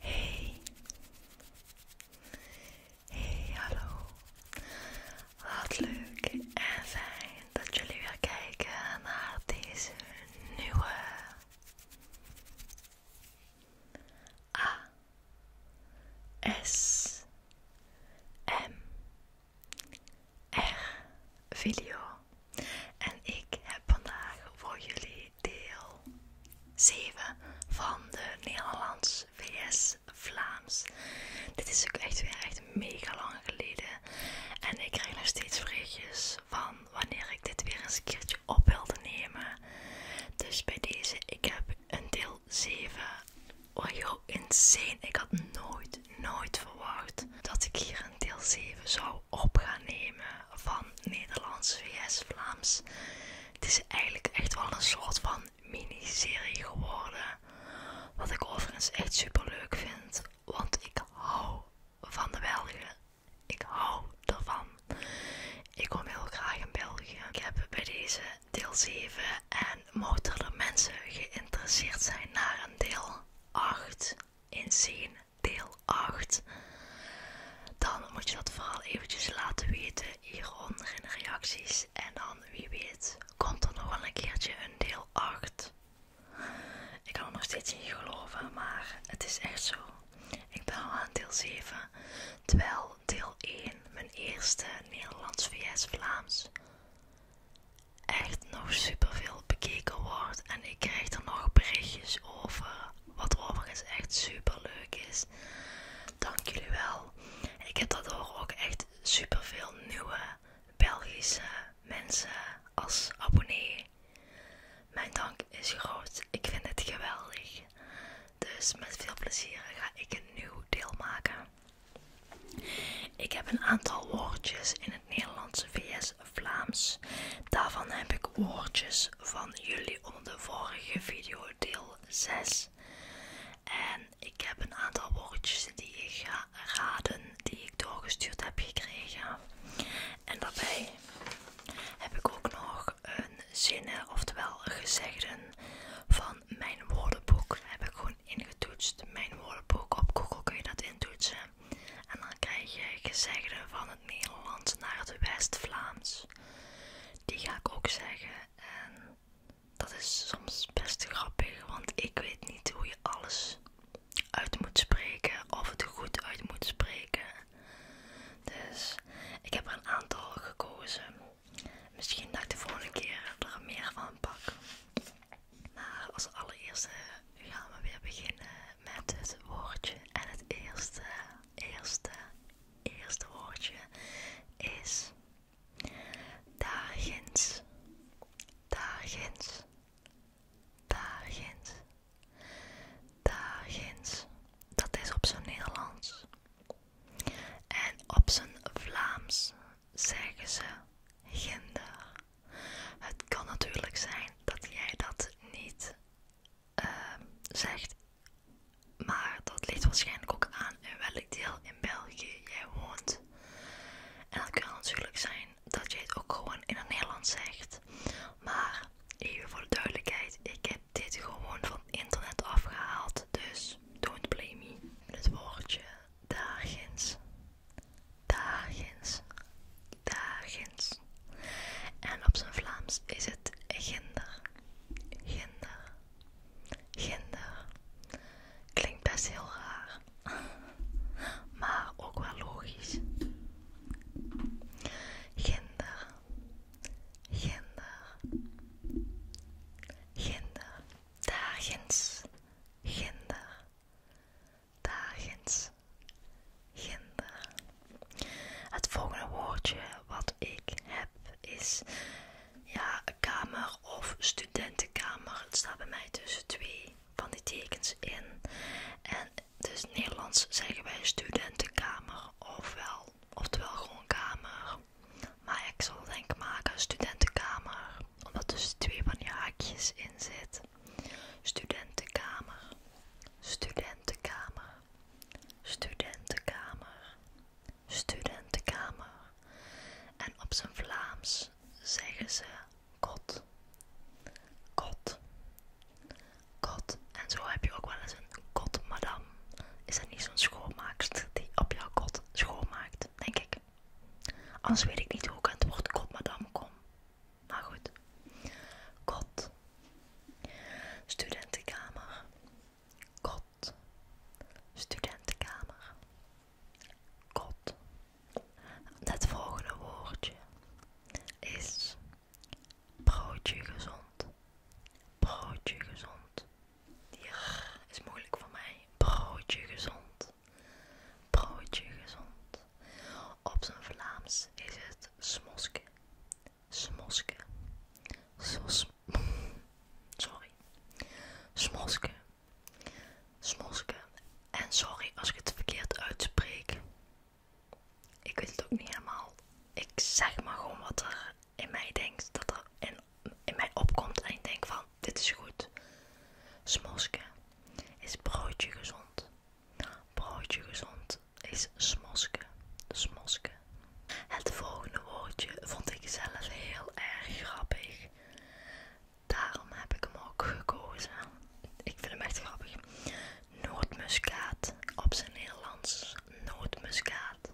Hey. Hey, hallo. en fijn dat jullie weer kijken deze nieuwe A S M R video. En ik heb vandaag voor jullie deel 7 van de Nederlands VS Vlaams. Dit is ook echt weer echt mega lang geleden. En ik krijg nog steeds berichtjes van wanneer ik dit weer eens een keertje op wilde nemen. Dus bij deze, ik heb een deel 7. Oh joh, insane. Ik had nooit, nooit verwacht dat ik hier een deel 7 zou op gaan nemen van Nederlands vs Vlaams. Het is eigenlijk echt wel een soort van miniserie geworden. Wat ik overigens echt super leuk vind, want ik hou van de Belgen. Ik hou ervan. Ik kom heel graag in België. Ik heb bij deze deel 7 en motor mensen geïnteresseerd zijn naar een deel 8 inzien deel 8. Dan moet je dat vooral eventjes laten weten hieronder in de reacties. En dan, wie weet, komt er nog wel een keertje een deel 8. Ik kan er nog steeds niet geloven, maar het is echt zo. Ik ben al aan deel 7, terwijl deel 1 mijn eerste Nederlands-VS-Vlaams echt nog superveel bekeken wordt. En ik krijg er nog berichtjes over. Wat overigens echt super leuk is. Dank jullie wel. Ik heb daardoor ook echt superveel nieuwe Belgische mensen als abonnee. Mijn dank is groot. Ik vind het geweldig. Dus met veel plezier ga ik een nieuw deel maken. Ik heb een aantal woordjes in het Nederlandse VS Vlaams. Daarvan heb ik woordjes van jullie onder de vorige video, deel 6. En ik heb een aantal woordjes die ik ga raden, die ik doorgestuurd heb gekregen. En daarbij heb ik ook nog een zinnen, oftewel gezegden van mijn woordenboek. Heb ik gewoon ingetoetst. Mijn woordenboek op Google kun je dat intoetsen. En dan krijg je gezegden van het Nederlands naar het West-Vlaams. Die ga ik ook zeggen. En dat is soms best grappig, want ik weet niet hoe je alles uit moet spreken of het goed uit moet spreken. Dus ik heb er een aantal gekozen. Misschien dat ik de volgende keer er meer van pak. Maar als allereerste gaan we weer beginnen met het woordje. En het eerste, eerste, eerste woordje is daarginds, daarginds, daarginds, daarginds. Dat is op zijn Nederlands. En op zijn Vlaams zeggen ze ginder, het kan natuurlijk zijn dat jij dat niet ehm, zegt, maar dat ligt waarschijnlijk ook aan in welk deel in België jij woont. En het kan natuurlijk zijn dat jij het ook gewoon in het Nederlands zegt, maar even voor de duidelijkheid, ik heb dit gewoon van internet afgehaald, dus don't blame me. Het woordje dagins, dagins, dagins. En op zijn Vlaams is het ginder, ginder, ginder. Klinkt best heel raar, maar ook wel logisch. Ginder, ginder, ginder, dagins, ginder dagens ginder. Het volgende woordje wat ik heb is ja, kamer of studentenkamer. Het staat bij mij tussen twee van die tekens in. En dus in Nederlands zeggen wij studentenkamer ofwel, oftewel gewoon kamer. Maar ik zal denk maken studentenkamer, omdat tussen twee van die haakjes in zit studentenkamer, studentenkamer, studentenkamer, studentenkamer. En op zijn Vlaams zeggen ze kot, kot, kot. En zo heb je ook wel eens een kotmadam. Is dat niet zo'n schoonmaakster die op jouw kot schoonmaakt, denk ik? Anders weet ik niet hoe ik aan het woord godmadame kom. Maar goed. God. Studentenkamer. God. Studentenkamer. God. Het volgende woordje is broodje gezond. Broodje gezond. Die is moeilijk voor mij. Broodje gezond. Broodje gezond. Op zijn Vlaams is het smoske. Smoske. sorry. Smoske. Smoske. En sorry als ik het verkeerd uitspreek. Ik weet het ook niet helemaal. Ik zeg maar gewoon wat er in mij denkt. Dat er in, in mij opkomt. En ik denk van dit is goed. Smoske is broodje gezond. Broodje gezond is smoske. Smoske. Het volgende woordje vond ik zelf heel erg grappig. Daarom heb ik hem ook gekozen. Ik vind hem echt grappig. Nootmuskaat op zijn Nederlands. Nootmuskaat.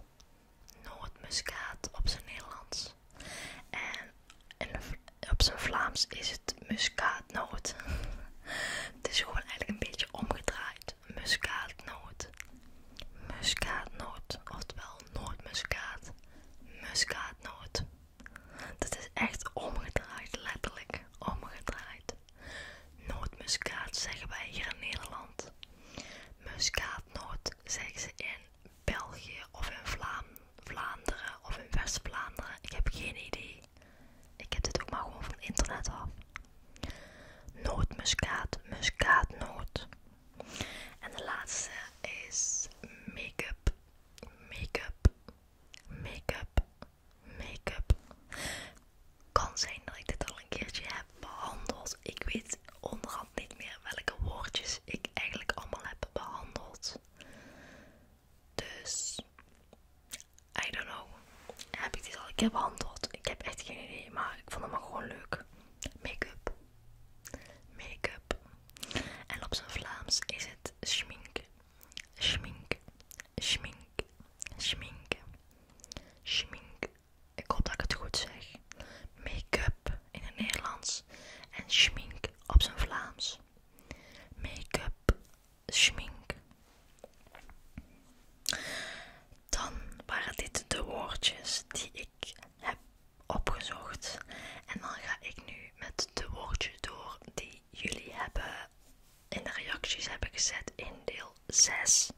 Nootmuskaat op zijn Nederlands. En op zijn Vlaams is het muskaatnoot. het is gewoon eigenlijk een beetje omgedraaid. Muskaatnoot. Muskaatnoot. Oftewel nootmuskaat. Muskaatnoot. Dat is echt omgedraaid, letterlijk omgedraaid. Nootmuskaat zeggen wij hier in Nederland. Muskaatnoot zeggen ze in België of in Vlaanderen. Vlaanderen of in West-Vlaanderen. Ik heb geen idee. Ik heb dit ook maar gewoon van het internet af. muskaat muskaatnoot. En de laatste is make-up, make-up, make-up, make-up. Kan zijn dat ik dit al een keertje heb behandeld. Ik weet onderhand niet meer welke woordjes ik eigenlijk allemaal heb behandeld. Dus, I don't know. Heb ik dit al een keer behandeld? Ik heb echt geen idee, maar ik vond hem gewoon leuk. Make-up. Make-up. En op zijn Vlaams is het schmink. Schmink. Schmink. Schmink. Schmink. Ik hoop dat ik het goed zeg. Make-up in het Nederlands en schmink op zijn Vlaams. Makeup schmink. Dan waren dit de woordjes die ik heb opgezocht. En dan ga ik nu met de woordjes door die jullie hebben in de reacties hebben gezet in deel 6.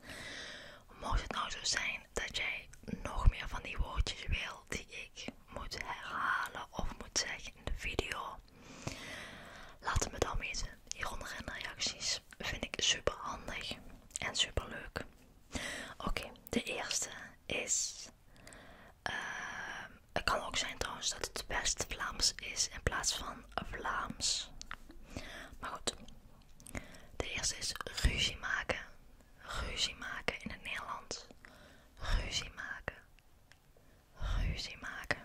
Mocht het nou zo zijn dat jij nog meer van die woordjes wil die ik moet herhalen of moet zeggen in de video. Laat het me dan weten hieronder in de reacties. Vind ik super handig en super leuk. Oké, de eerste is. Ehm, het kan ook zijn trouwens dat het best Vlaams is in plaats van Vlaams. Maar goed, de eerste is ruzie maken. Ruzie maken in het Nederlands ruzie maken, ruzie maken.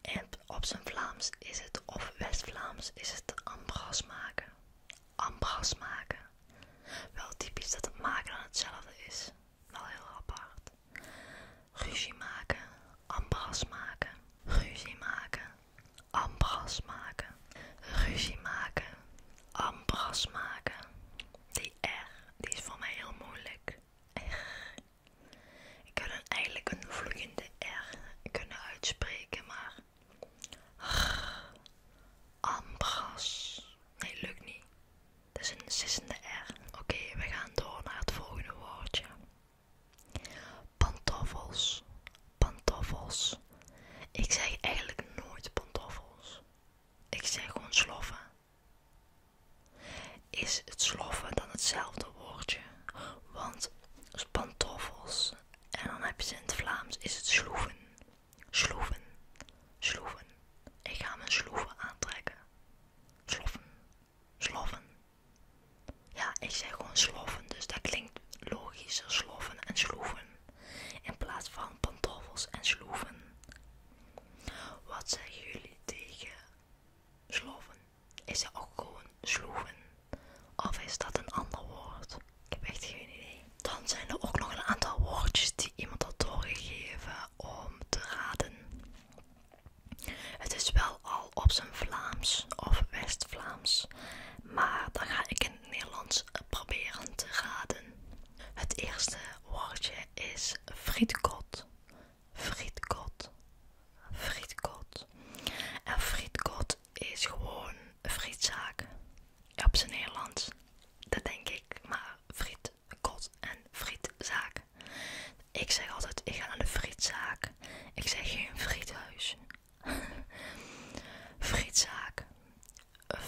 En op zijn Vlaams is het, of West-Vlaams is het ambras maken, ambras maken. Wel typisch dat het maken aan hetzelfde is, wel heel apart. Ruzie maken, ambras maken, ruzie maken, ambras maken, ruzie maken, ambras maken. Die R, die is voor mij heel moeilijk. Ik kan eigenlijk een vloeiende R kunnen uitspreken, maar... Ambras. Nee, lukt niet. Dat is een sissende R. Oké, we gaan door naar het volgende woordje. Pantoffels. Pantoffels. Ik zeg eigenlijk nooit pantoffels. Ik zeg gewoon sloffen. Is het sloffen dan hetzelfde woordje? Want pantoffels en dan heb je ze in het Vlaams is het sloeven. Sloeven. Sloeven. Ik ga mijn sloeven aantrekken. Sloffen. sloven. Ja, ik zeg gewoon sloffen, dus dat klinkt logischer. Sloffen en sloeven in plaats van pantoffels en sloeven. Wat zeggen jullie tegen sloven? Is dat ook gewoon sloeven? Of is dat een ander woord? Ik heb echt geen idee. Dan zijn er ook nog een aantal woordjes die iemand had doorgegeven om te raden. Het is wel al op zijn Vlaams of West-Vlaams, maar dan ga ik in het Nederlands proberen te raden. Het eerste woordje is frietkot. Frietkot. Frietkot. En frietkot is gewoon frietzaak. Op zijn Nederlands. Dat denk ik. Maar frietkot en frietzaak. Ik zeg altijd, ik ga naar de frietzaak. Ik zeg geen friethuis. frietzaak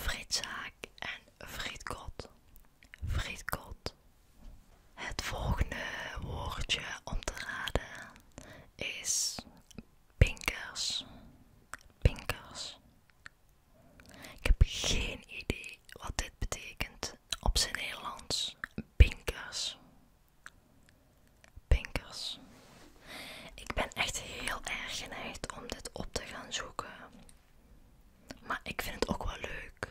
frietzaak en frietkot. Frietkot. Het volgende woordje om te raden is pinkers. Pinkers. Ik heb geen idee wat dit betekent op zijn Nederlands. Pinkers. Pinkers. Ik ben echt heel erg geneigd om dit op te gaan zoeken. Maar ik vind het ook wel leuk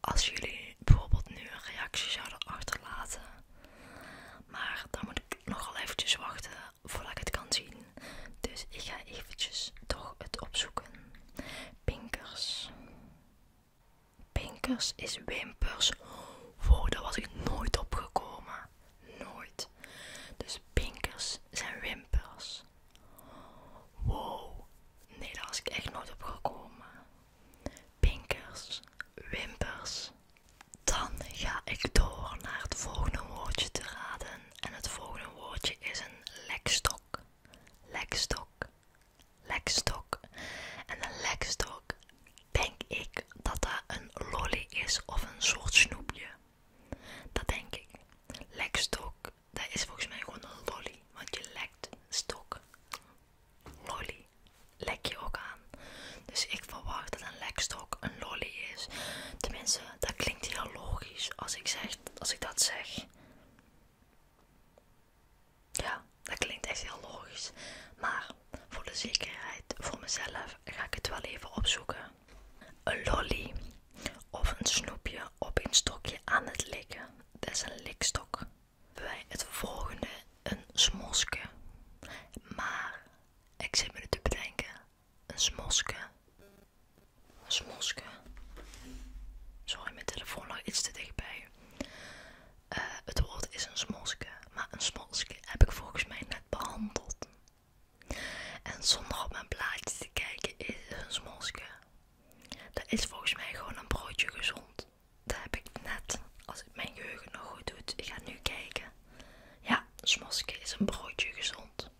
als jullie bijvoorbeeld nu een reactie zouden achterlaten. Maar dan moet ik nogal eventjes wachten voordat ik het kan zien. Dus ik ga eventjes toch het opzoeken. Pinkers. Pinkers is wimpers. Wow, daar was ik nooit op gekomen. Nooit. Dus pinkers zijn wimpers. Wow. Nee, daar was ik echt nooit op gekomen. Pinkers, wimpers. Dan ga ik door naar het volgende woordje te raden. En het volgende woordje is een lekstok. Lekstok. Lekstok. En de lekstok denk ik dat dat een lolly is of een soort snoepje. Dat denk ik. Lekstok, dat is volgens mij gewoon een lolly. Want je lekt stok. Lolly. Lek je ook aan. Dus ik verwacht dat een lekstok een lolly is. Tenminste, dat klinkt heel logisch als ik dat zeg. Ja, dat klinkt echt heel logisch. Maar voor de zekerheid, voor mezelf, ga ik het wel even opzoeken. Een lolly of een snoepje op een stokje aan het likken. Dat is een likstok. Bij het volgende een smoske. Maar ik zit me te bedenken. Een smoske. Een smoske. Sorry, mijn telefoon lag iets te dichtbij. Eh, het woord is een smoske. Maar een smoske heb ik volgens mij net behandeld. En zonder op mijn plaatje te kijken is het een smosje. Dat is volgens mij gewoon een broodje gezond. Dat heb ik net, als het mijn geheugen nog goed doet. Ik ga nu kijken. Ja, smosje is een broodje gezond.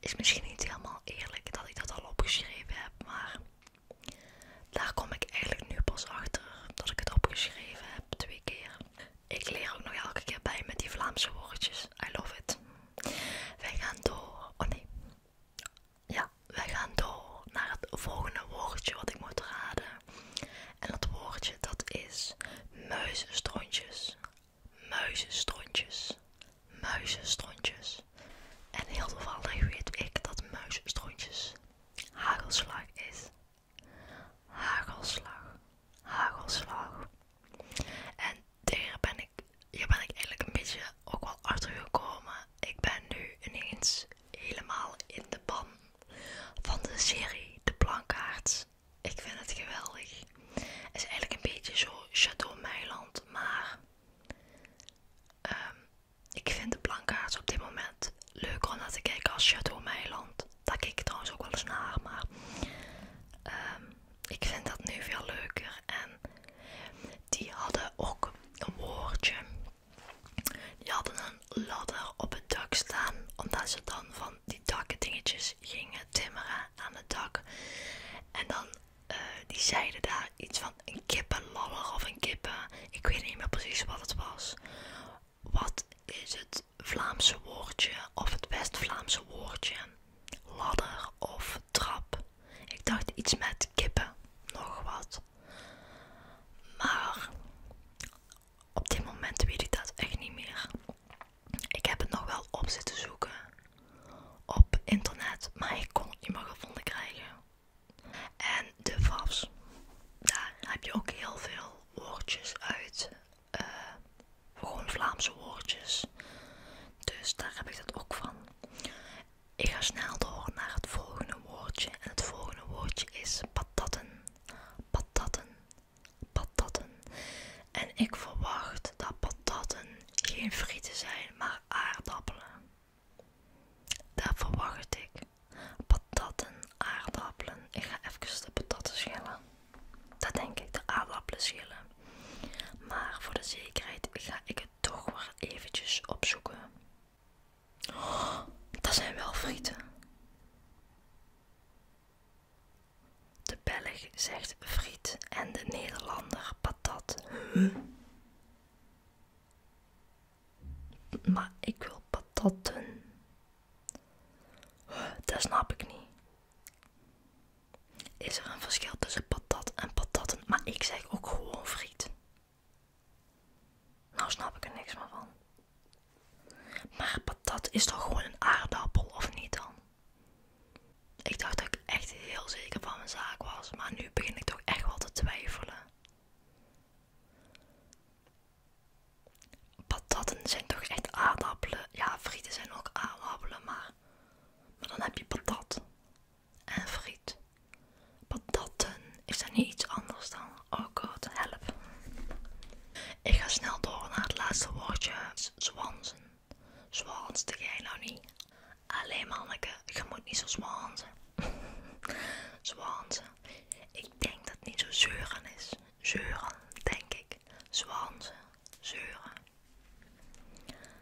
Is misschien niet helemaal eerlijk dat ik dat al opgeschreven heb, maar daar kom ik eigenlijk nu pas achter dat ik het opgeschreven heb twee keer. Ik leer ook nog elke keer bij met die Vlaamse woordjes. I love it. Wij gaan door. Oh nee. Ja, wij gaan door naar het volgende woordje wat ik moet raden. En dat woordje dat is muizenstrontjes. Muizenstrontjes. Muizenstrontjes. En heel toevallig weet ik dat muizenstrontjes hagelslag is. Hagelslag, hagelslag. En ben ik, hier ben ik eigenlijk een beetje ook wel achter gekomen. Ik ben nu ineens helemaal in de ban van de serie De Plankaarts. Ik vind het geweldig. Het is eigenlijk een beetje zo Château Meiland, maar ehm, ik vind de Plankaarts op dit moment leuker om naar te kijken als Château Meiland dat, daar keek ik trouwens ook wel eens naar, maar ehm, ik vind dat nu veel leuker. En die hadden ook een woordje. Die hadden een ladder op het dak staan, omdat ze dan van die dakken dingetjes gingen timmeren aan het dak. En dan, eh, die zeiden daar iets van een kippenladder of een kippen, ik weet niet meer precies wat het was. Wat is het Vlaamse woordje of het West-Vlaamse woordje? Ladder of trap? Ik dacht iets met kippen, nog wat. Maar op dit moment weet ik dat echt niet meer. Ik heb het nog wel op zitten zoeken op internet, maar ik kon het niet gevonden krijgen. En de vaps daar heb je ook heel veel woordjes uit eh, gewoon Vlaamse woordjes. Dus daar heb ik dat ook van. Ik ga snel door naar het volgende woordje. En het volgende woordje is patatten. Patatten. Patatten. En ik verwacht dat patatten geen frieten zijn, maar aardappelen. Daar verwacht ik. Patatten, aardappelen. Ik ga even de patatten schillen. Dat denk ik, de aardappelen schillen. Maar voor de zekerheid ga ik het toch maar eventjes opzoeken. Oh, dat zijn wel frieten. De Belg zegt friet en de Nederlander patat. Maar ik wil patatten. Dat snap ik niet. Is er een verschil tussen patat en patatten? Maar ik zeg ook gewoon friet. Nou snap ik er niks meer van. Maar patat is toch gewoon een aardappel, of niet dan? Ik dacht dat ik echt heel zeker van mijn zaak was, maar nu begin ik toch echt wel te twijfelen. Patatten zijn toch echt aardappelen? Ja, frieten zijn ook aardappelen, maar, maar dan heb je patat en friet. Patatten, is er niet iets anders dan? Oh god, help. Ik ga snel door naar het laatste woordje, zwansen. denk jij nou niet? Alleen manneke, je moet niet zo zwansen. zwansen. Ik denk dat het niet zo zeuren is zeuren, denk ik. Zwansen, zeuren.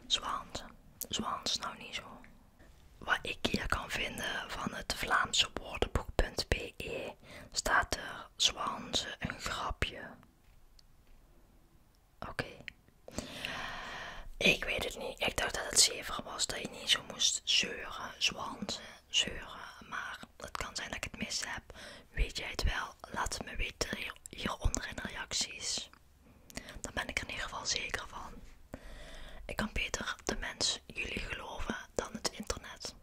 Zwansen, zwans nou niet zo. Wat ik hier kan vinden van het Vlaamse woordenboek.be staat er zwansen een grapje. Oké. Ik weet het niet. Ik dacht dat het zever was dat je niet zo moest zeuren, zwansen zeuren, maar het kan zijn dat ik het mis heb. Weet jij het wel? Laat me weten hieronder in de reacties. Daar ben ik er in ieder geval zeker van. Ik kan beter de mens jullie geloven dan het internet.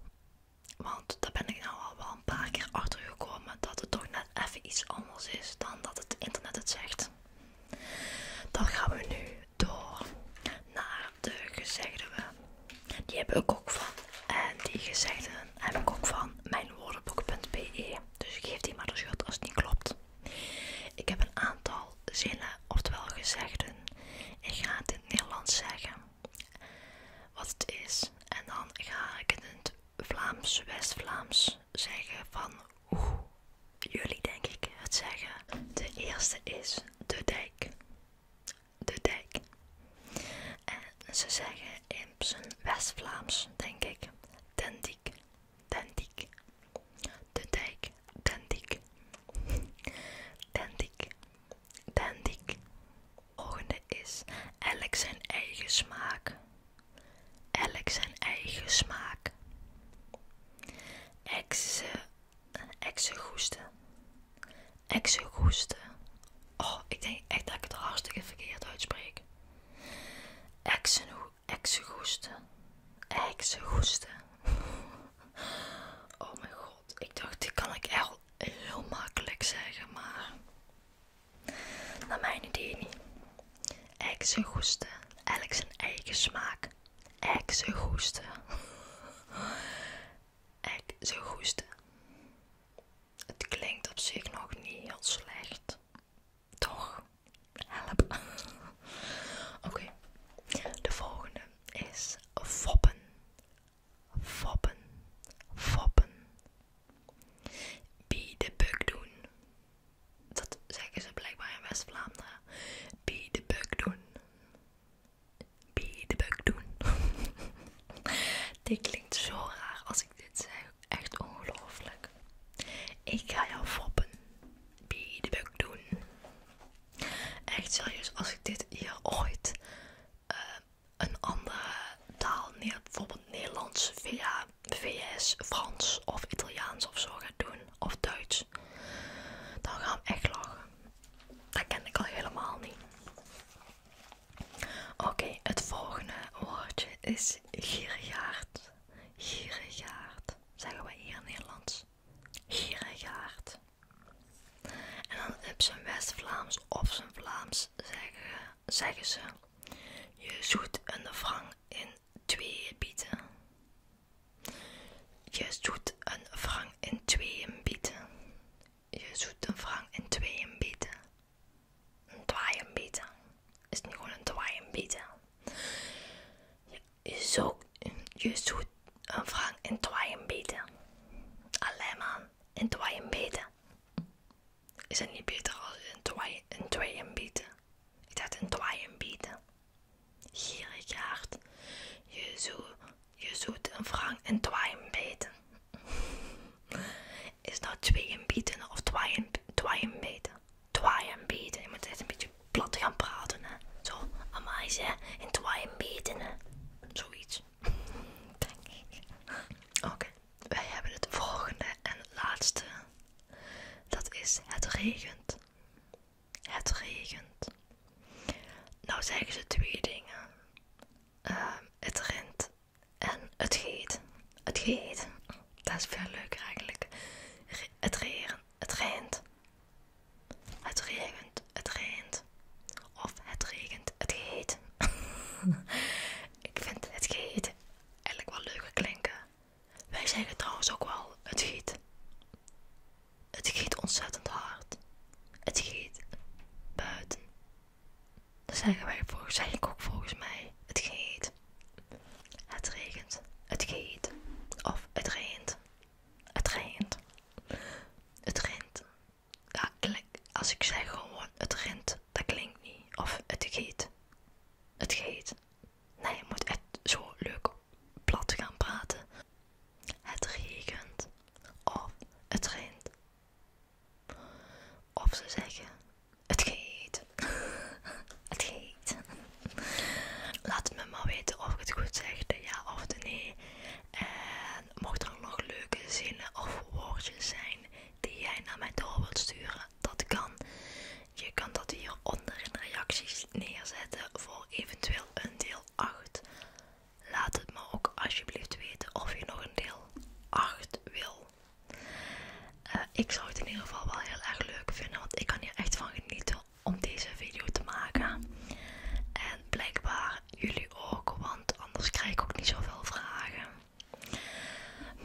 Want daar ben ik nou al wel een paar keer achter gekomen dat het toch net even iets anders is dan dat het internet het zegt. Dan gaan we nu door naar de gezegden. Die heb ik ook van. En eh, die gezegden heb dus ik ook van mijnwoordenboek.be. Dus geef die maar de schuld als het niet klopt. Ik heb een aantal zinnen, oftewel gezegden. Ik ga het in Nederlands zeggen. Wat het is. En dan ga ik in het Vlaams, West-Vlaams zeggen van hoe jullie denk ik het zeggen. De eerste is de dijk de dijk. En ze zeggen in zijn West-Vlaams, denk ik, den dik, De dijk, den dik. Den dik, Volgende is elk zijn eigen smaak. Elk zijn eigen smaak. Exe Exegoesten. Exegoesten. Oh, ik denk echt dat ik het hartstikke verkeerd uitspreek. Exegoesten. Exegoesten. Oh mijn god, ik dacht die kan ik echt heel makkelijk zeggen, maar naar mijn idee niet. Exegoesten. Elk zijn eigen smaak. Exegoesten. ik zou goed. Het klinkt op zich nog niet heel slecht. Toch? Help. Oké, de volgende is foppen. Foppen. Foppen. Wie de bug doen. Dat zeggen ze blijkbaar in West-Vlaanderen. Wie de bug doen biedebuik doen. dit klinkt zo raar als ik dit zeg. Echt ongelooflijk. Ik ga jou foppen. bug doen. Echt serieus, als ik dit hier ooit eh, een andere taal, bijvoorbeeld Nederlands via VS, Frans of Italiaans of zo ga doen, of Duits, dan gaan we echt lachen dat ken ik al helemaal niet. Oké, het volgende woordje is gierigaard. Gierigaard, zeggen we hier in Nederlands. Gierigaard. En dan op zijn West-Vlaams of zijn Vlaams zeggen, ze: Je zoet een de wrang in twee pieten. Je zoet een vrouw in tweeën bieten. Je zoet een vrouw in tweeën bieten. Een twaaien bieten. Is het niet gewoon een twaaien bieten? Je, je, je zoet een vrouw in twaaien bieten. Alleen maar in twaaien bieten. Is het niet beter als een tweeën bieten? Ik dacht een twaaien bieten. Gierigaard, je, zo, je zoet een vrouw in twaaien beten. Is nou tweeën bieten of twaaien, twaaien beten? beten, je moet het een beetje plat gaan praten hè. Zo, amais hè, in twaaien beten hè. Zoiets. Denk ik. Oké, wij hebben het volgende en laatste. Dat is het regent. Het regent. Nou zeggen ze twee dingen. Ehm, het rent en het geet. Het geet. Dat is veel leuker eigenlijk. het reren. Het regent. Het regent. Het regent. Of het regent. Het geet. Ik vind het geet eigenlijk wel leuker klinken. Wij zeggen trouwens ook wel het geet. Het giet ontzettend hard. Het giet buiten. Dat zeggen wij volgens, zeg ook volgens mij. Het giet. Het regent. Het giet. Of het regent. Het regent. Het rent. Ja, als ik zeg gewoon het rent, dat klinkt niet. Of het giet. Het giet. Nee, je moet het zo leuk plat gaan praten. Het regent of het regent. Of ze zeggen: Het geet. het geet. Laat me maar weten of ik het goed zeg, de ja of de nee. En mocht er nog leuke zinnen of woordjes zijn die jij naar mij door wilt sturen, dat kan. Je kan dat hieronder in de reacties neerzetten voor eventueel een deel. 8. Laat het me ook alsjeblieft weten of je nog een deel 8 wil. Eh, ik zou het in ieder geval wel heel erg leuk vinden, want ik kan hier echt van genieten om deze video te maken. En blijkbaar jullie ook, want anders krijg ik ook niet zoveel vragen.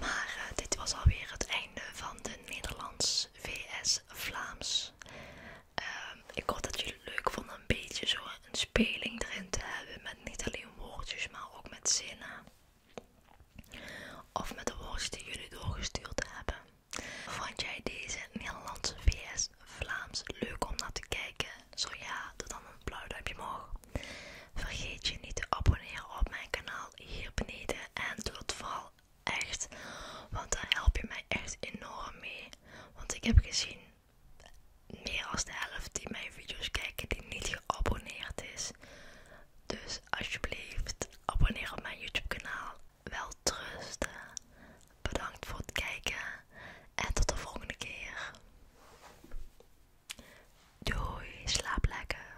Maar eh, dit was alweer het einde van de Nederlands vs Vlaams Ehm, ik hoop dat jullie het leuk vonden een beetje zo een speling erin te hebben. Met niet alleen woordjes, maar ook met zinnen. Of met de woordjes die jullie doorgestuurd hebben. Vond jij deze Nederlandse VS Vlaams leuk om naar te kijken? Zo ja, doe dan een blauw duimpje omhoog. Vergeet je niet te abonneren op mijn kanaal hier beneden. En doe het vooral Echt. Want daar help je mij echt enorm mee. Want ik heb gezien meer dan de helft die mijn video's kijken die niet geabonneerd is. Dus alsjeblieft, abonneer op mijn YouTube kanaal. Wel trusten. Bedankt voor het kijken. En tot de volgende keer. Doei, slaap lekker.